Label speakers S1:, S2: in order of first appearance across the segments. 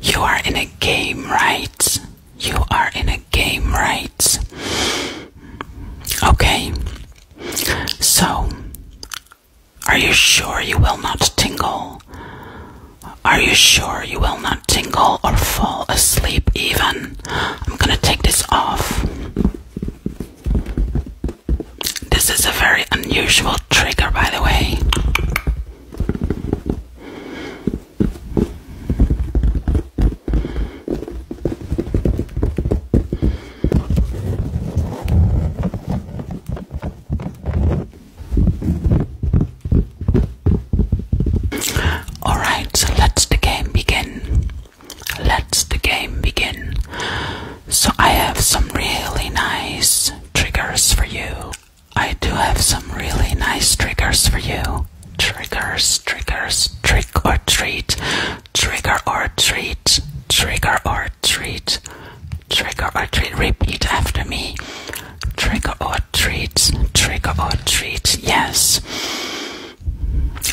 S1: You are in a game, right? You are in a game, right? Okay. So, are you sure you will not tingle? Are you sure you will not tingle or fall asleep even? I'm gonna take this off. This is a very unusual trigger, by the way. All right, so let's the game begin. Let's the game begin. So I have some really nice triggers for you. I do have some really nice triggers for you. Triggers, triggers, trick or treat, trigger or treat, trigger or treat, trigger or treat. Repeat after me. Trigger or treats, trigger or treats. Yes.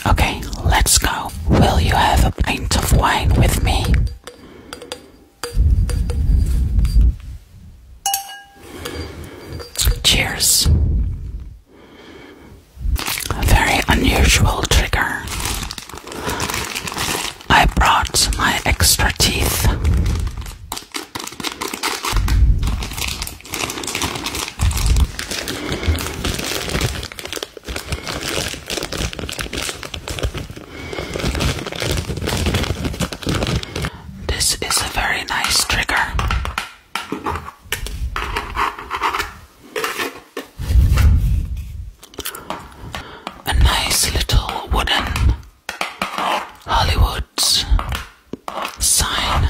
S1: Okay, let's go. Will you have a pint of wine with me? Cheers. very unusual trigger. I brought my extra teeth. This is a very nice trigger. A nice little wooden Hollywood sign.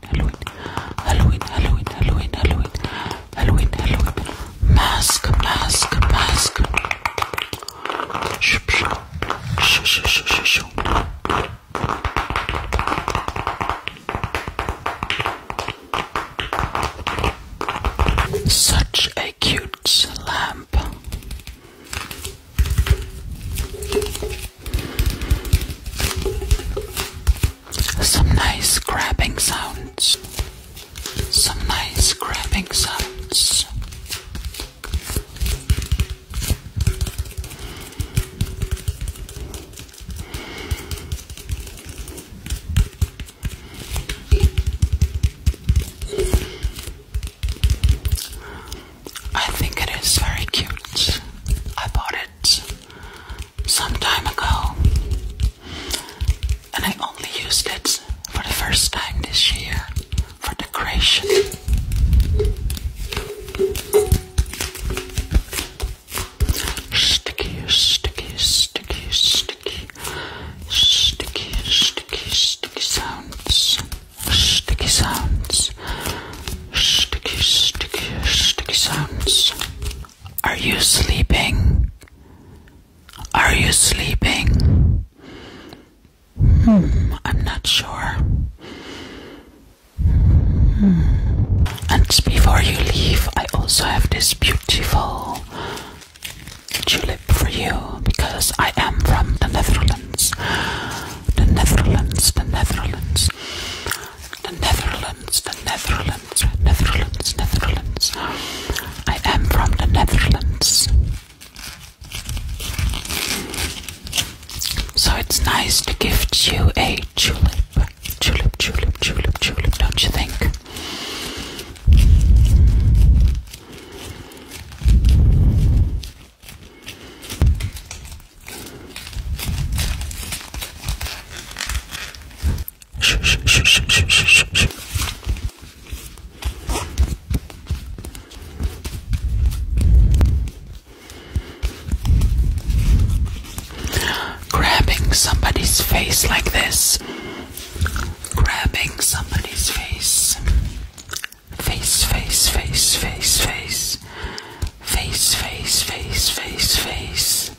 S1: Halloween, Halloween, Halloween, Halloween, Halloween, Halloween, Mask, mask, mask. Shup, shup, shup, shup, shup, Such a cute lamp. Some nice grabbing sounds. Some nice grabbing sounds. I think it is very cute. I bought it some time ago, and I only used it for the first time this year for decoration. Sticky, sticky, sticky, sticky, sticky, sticky, sticky sounds, sticky sounds, Sticky, sticky, sticky sounds. Are you sleeping? Are you sleeping? Hmm, I'm not sure. Hmm. And before you leave, I also have this beautiful tulip for you because I am from the Netherlands. The Netherlands, the Netherlands. The Netherlands, the Netherlands, Netherlands, Netherlands. I am from the Netherlands. So it's nice to gift you a tulip. Tulip, tulip, tulip, tulip, don't you think? Grabbing somebody's face like this. Grabbing somebody's face. Face, face, face, face, face. Face, face, face, face, face.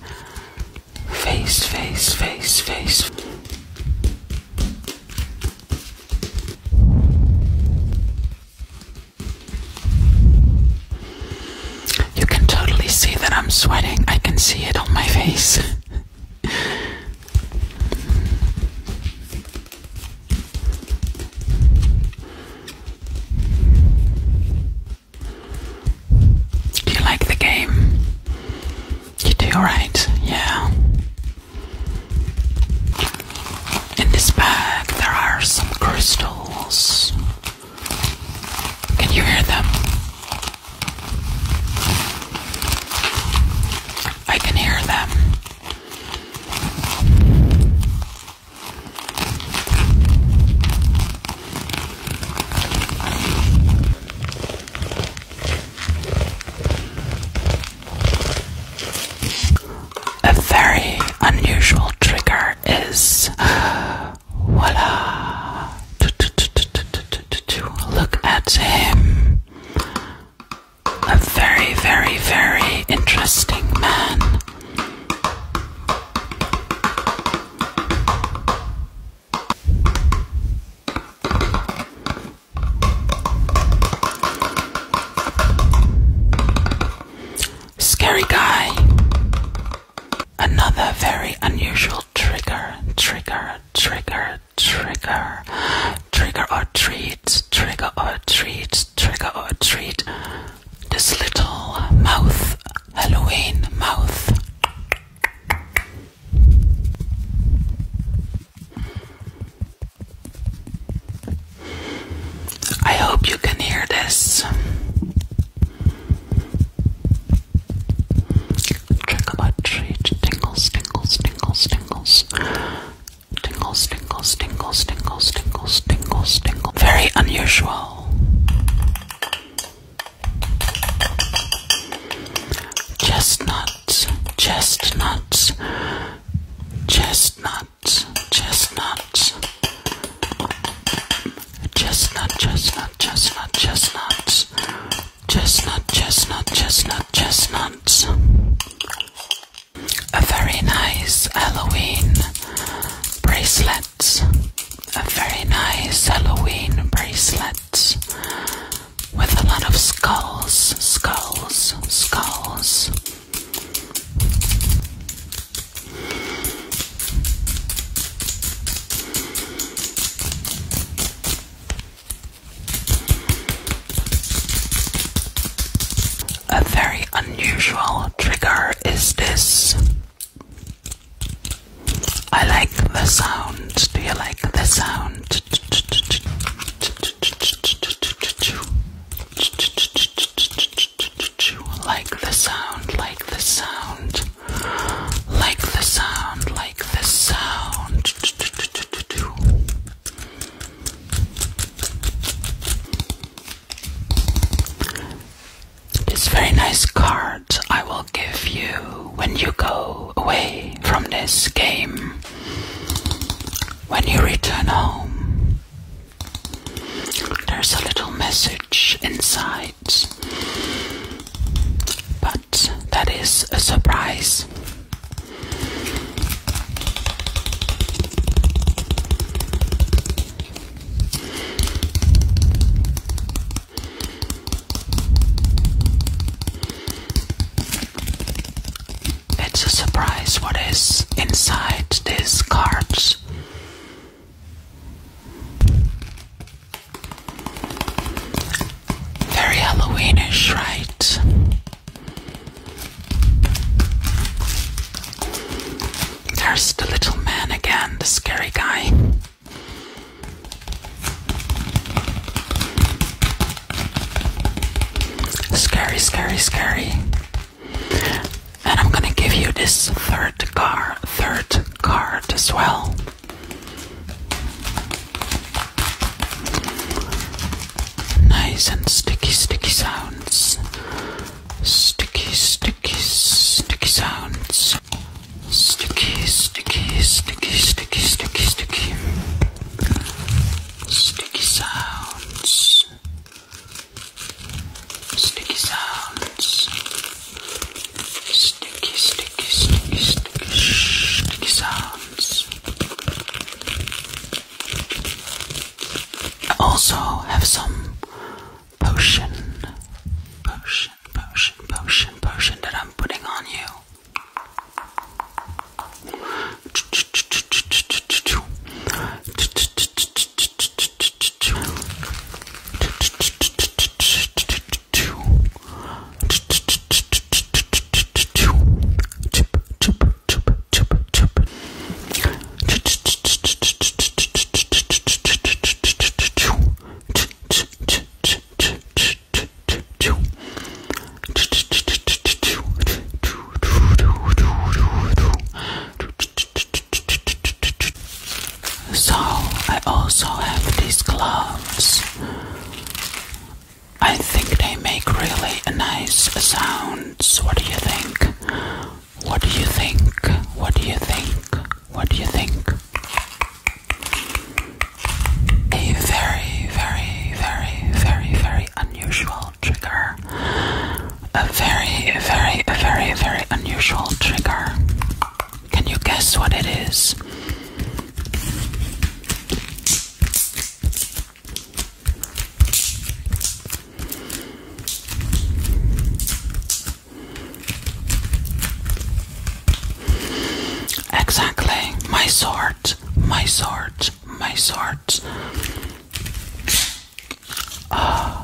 S1: Face, face, face, face. You can totally see that I'm sweating. I can see it on my face. Do you like the game? You do, alright? Yeah. In this bag, there are some crystals. Can you hear them? I can hear them. A very unusual trigger is voila. Look at him a very, very, very interesting man. Scary guy. Another very unusual trigger, trigger, trigger, trigger trigger or treat, trigger or treat, trigger or treat. This little mouth, Halloween mouth. I hope you can hear this. Trick about treat, tingles, tingles, tingles, tingles. Tingles, tingles, tingles, tingles, tingles, tingles, tingles. Very unusual. Chestnut, chestnut, chestnut, chestnut. Chestnut, chestnut, chestnut, chestnut. Chestnut, chestnut, chestnut, chestnut a very nice Halloween bracelet, a very nice Halloween bracelet with a lot of skulls, skulls, skulls. A very unusual trigger is this. I like the sound. Do you like the sound? Like the sound, like the sound, like the sound, like the sound. This very nice card I will give you when you go away from this game, when you return home. There's a little message inside, but that is a surprise. It's a surprise what is inside these cards. Very Halloweenish, right? There's the little man again, the scary guy. Scary, scary, scary. And I'm gonna give you this third card, third card as well. Nice and sticky, sticky sounds. Sticky, sticky, sticky sounds. Sticky, sticky, sticky, sticky, sticky, sticky. sounds. Sticky sounds. Sticky, sticky, sticky, sticky, sticky sounds sounds. I also have some potion, potion, potion, potion, potion that I'm putting on you. So I also have these gloves I think they make really nice sounds. What do you think? What do you think? What do you think? What do you think? A very, very, very, very, very unusual trigger. A very, very, very, very unusual trigger. Can you guess what it is? Exactly, my sword, my sword, my sword. Ah.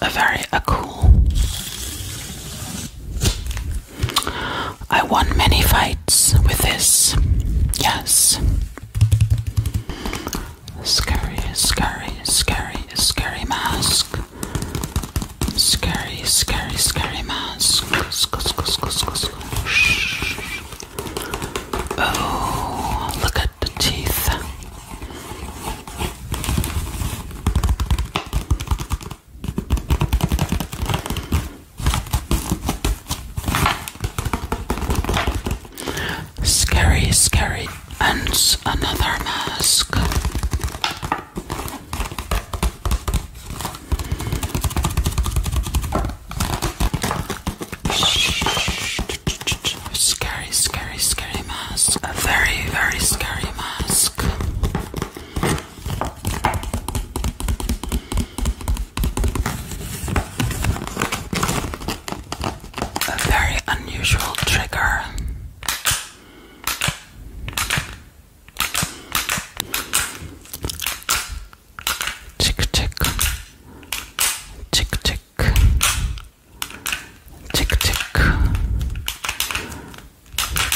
S1: a very a cool. I won many fights with this. Yes. Scary, scary, scary, scary mask. Scary, scary, scary mask. Shh. Oh, look at the teeth. Scary, scary, and another mask. Scary, scary, scary mask. A very, very scary mask. A very unusual trigger tick tick tick tick tick tick tick tick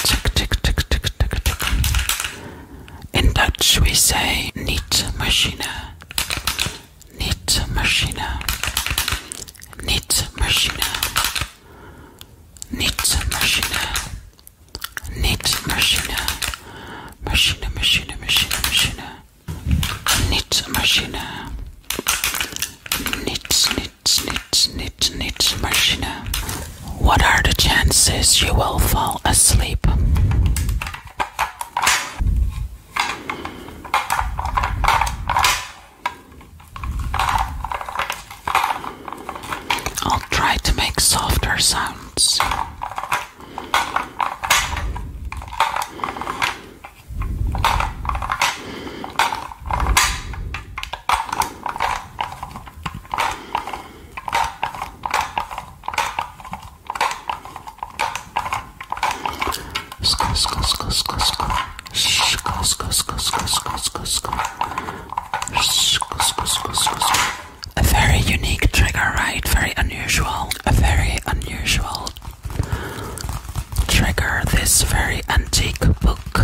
S1: tick tick tick tick in Dutch we say neat machine neat machine neat machine neat machine knit machine, machine, machine, machine, machine, knit machine, knit, knit, knit, knit, knit machine. What are the chances you will fall asleep? I'll try to make softer sounds. A very unique trigger, right? Very unusual. A very unusual trigger. This very antique book.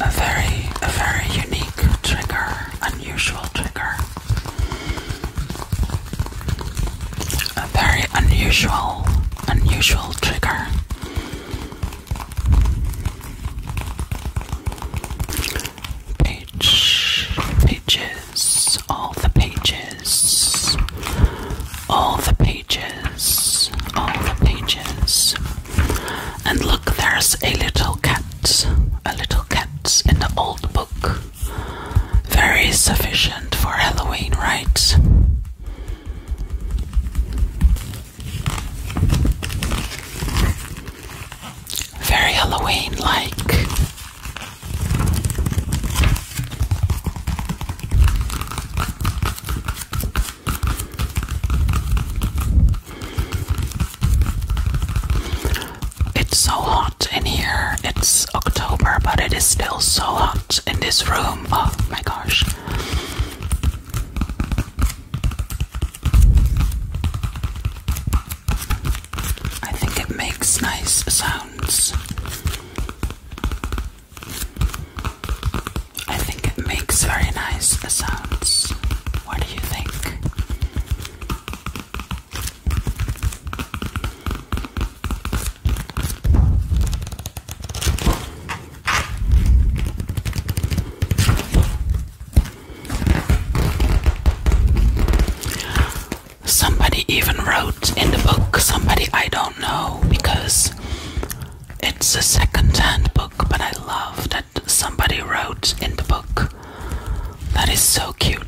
S1: A very, a very unique trigger. Unusual trigger. A very unusual, unusual trigger. Page, pages, all the pages, all the pages, all the pages. And look, there's a little cat, a little cat in the old book. Very sufficient for Halloween, rites. Very Halloween like. It's so hot in here. It's October, but it is still so hot in this room. Oh my gosh. I think it makes nice sounds. I think it makes very nice sounds. What do you think? Somebody even wrote in the book, somebody I don't know, because it's a second hand book, but I love that somebody wrote in the book. That is so cute.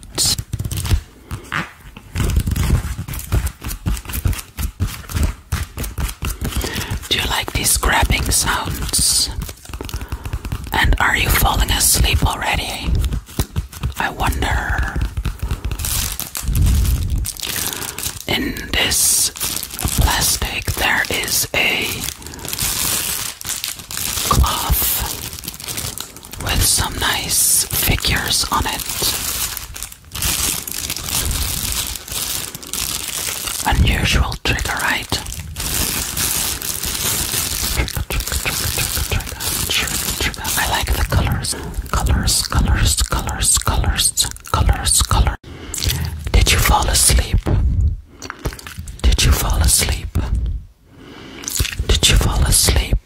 S1: Do you like these grabbing sounds? And are you falling asleep already? I wonder. In this plastic, there is a cloth with some nice figures on it. Unusual trigger, right? Trigger, trigger, trigger, trigger, trigger, trigger. I like the colors, colors, colors, colors, colors, colors, colors. Did you fall asleep? Did you fall asleep? Did you fall asleep?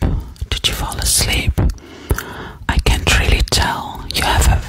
S1: Did you fall asleep? I can't really tell. You have a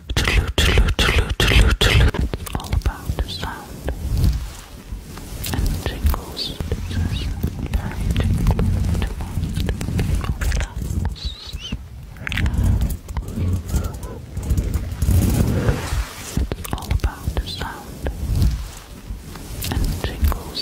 S1: Toodaloo, It's all about the sound and tingles. It's all about the sound and tingles.